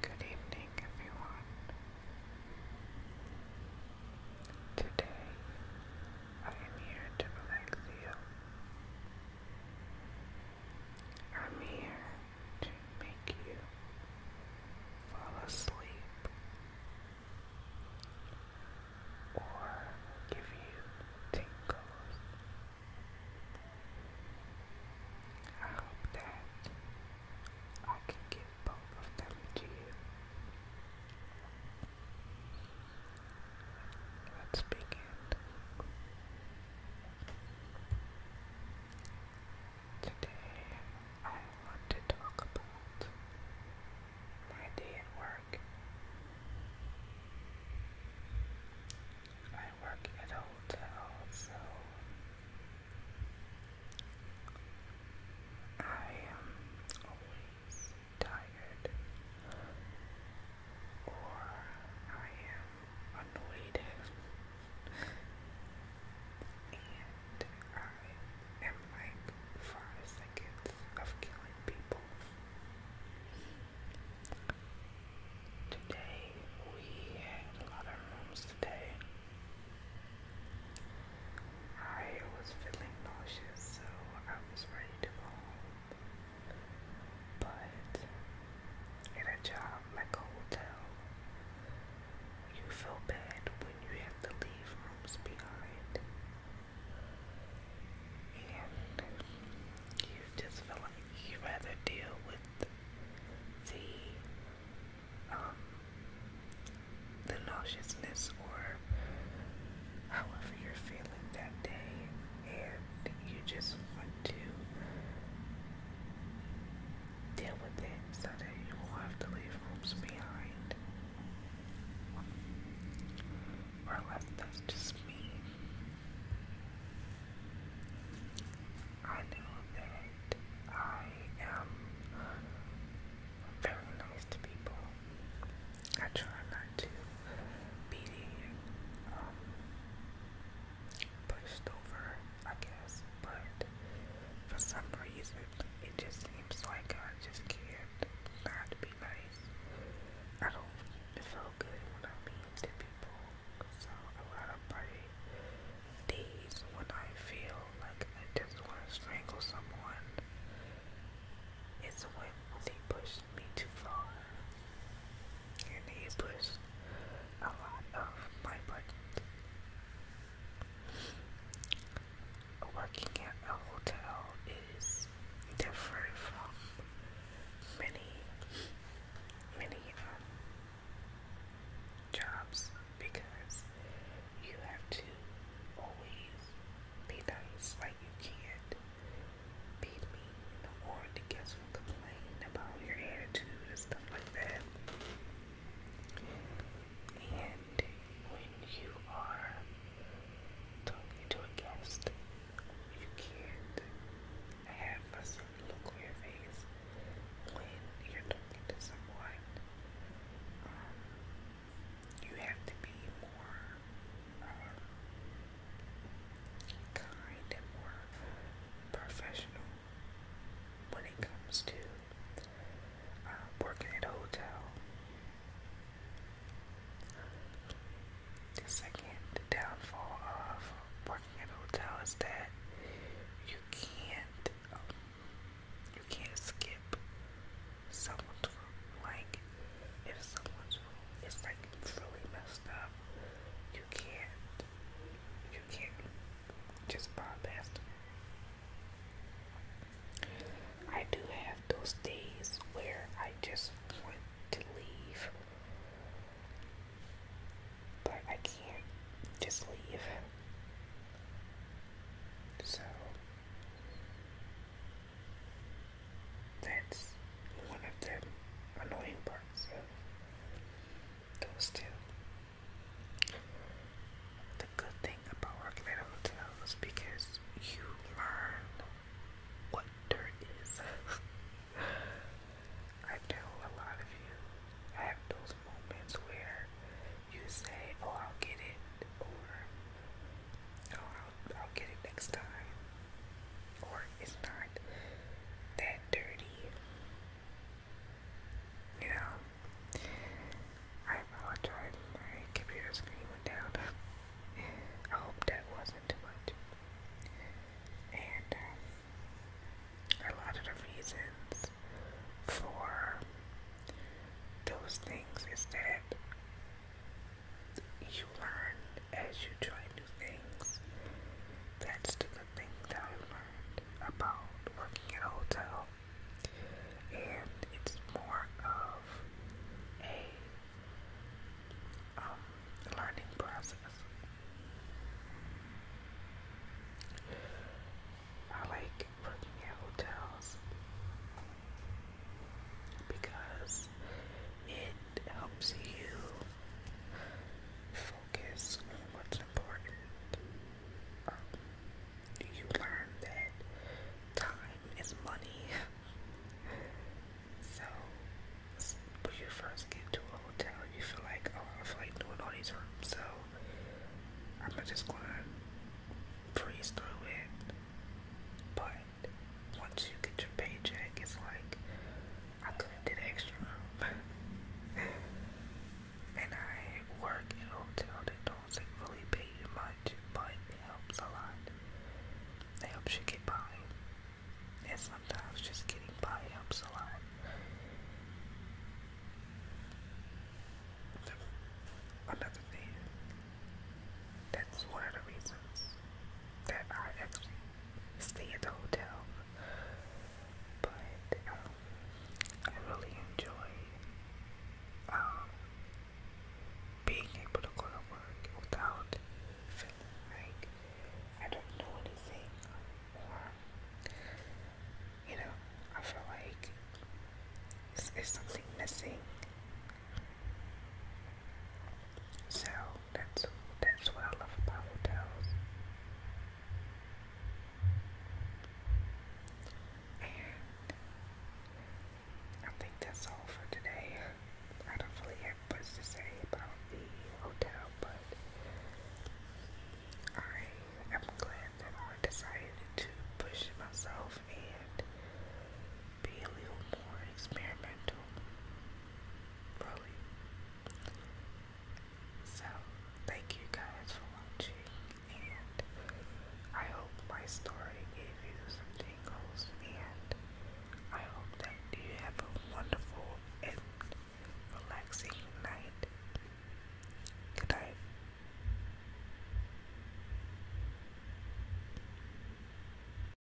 Good evening, everyone. Today I am here to relax you. I'm here to make you fall asleep or give you tingles. I hope that I can give both of them to you. Let's begin. Today I want to talk about my day at work. I work at a hotel, so I am always tired or I am annoyed and I in like five seconds of killing people. Today we had a lot of rooms today. I was feeling nauseous, so I was ready to fall. But in a job like a hotel, you feel bad when you have to leave rooms behind and you just feel like you'd rather deal with the um, the nauseousness or however you're feeling that day and you just want to deal with it so that you won't have to leave hopes behind or unless that's just me. I know that I am very nice to people. I try not to be um, pushed over, I guess, but for some reason, it just seems like I just can't not be nice. I don't feel good when I'm mean to people. So a lot of my when I feel like I just want to strangle someone, it's when they push me too far. And they push a lot of my buttons. Working at a hotel is different from many, many um, jobs because you have to always be nice. Like you can't beat me or the guests will complain about your attitude and stuff like that. And when you are talking to a guest, you can't have a certain on your face when you're talking to someone. Um, you have to be more um, kind and more professional when it comes to uh, working at a hotel. The second downfall of working at hotel is that you can't um, you can't skip someone's room. Like if someone's room is like really messed up, you can't you can't just bypass I do have those days where I just want to leave, but I can't just leave. So that's one of the annoying parts of those two. The good thing about working at hotels because you learn what dirt is. I know a lot of you have those moments where you say, "Oh, I'll get it," or "Oh, I'll, I'll get it next time," or "It's not that dirty." You know, I apologize. My computer screen went down. I hope that wasn't And um, a lot of the reasons for those things is that you learn as you try new things. That's things that I learned about working at hotel, and it's more of a um, learning process. I like working at hotels because it helps you focus what's important. Um, you learn that time is money. so when you first get to a hotel, you feel like, oh, I feel like doing all these rooms, so I'm just gonna breeze through it. But once you get your paycheck, it's like, I couldn't do the extra room. and I work in a hotel that don't really pay you much, but it helps a lot. It helps you get by. And sometimes just getting by helps a lot. another thing, that's one of the reasons that I actually stay at the hotel but um, I really enjoy um, being able to go to work without feeling like I don't know anything or you know I feel like it's, it's something missing. So that's that's what I love about hotels. And I think that's all for today. I don't really have much to say about the hotel, but I am glad that I decided to push myself and be a little more experimental really. So, thank you guys for watching, and I hope my story gave you some tingles, and I hope that you have a wonderful and relaxing night. Good night.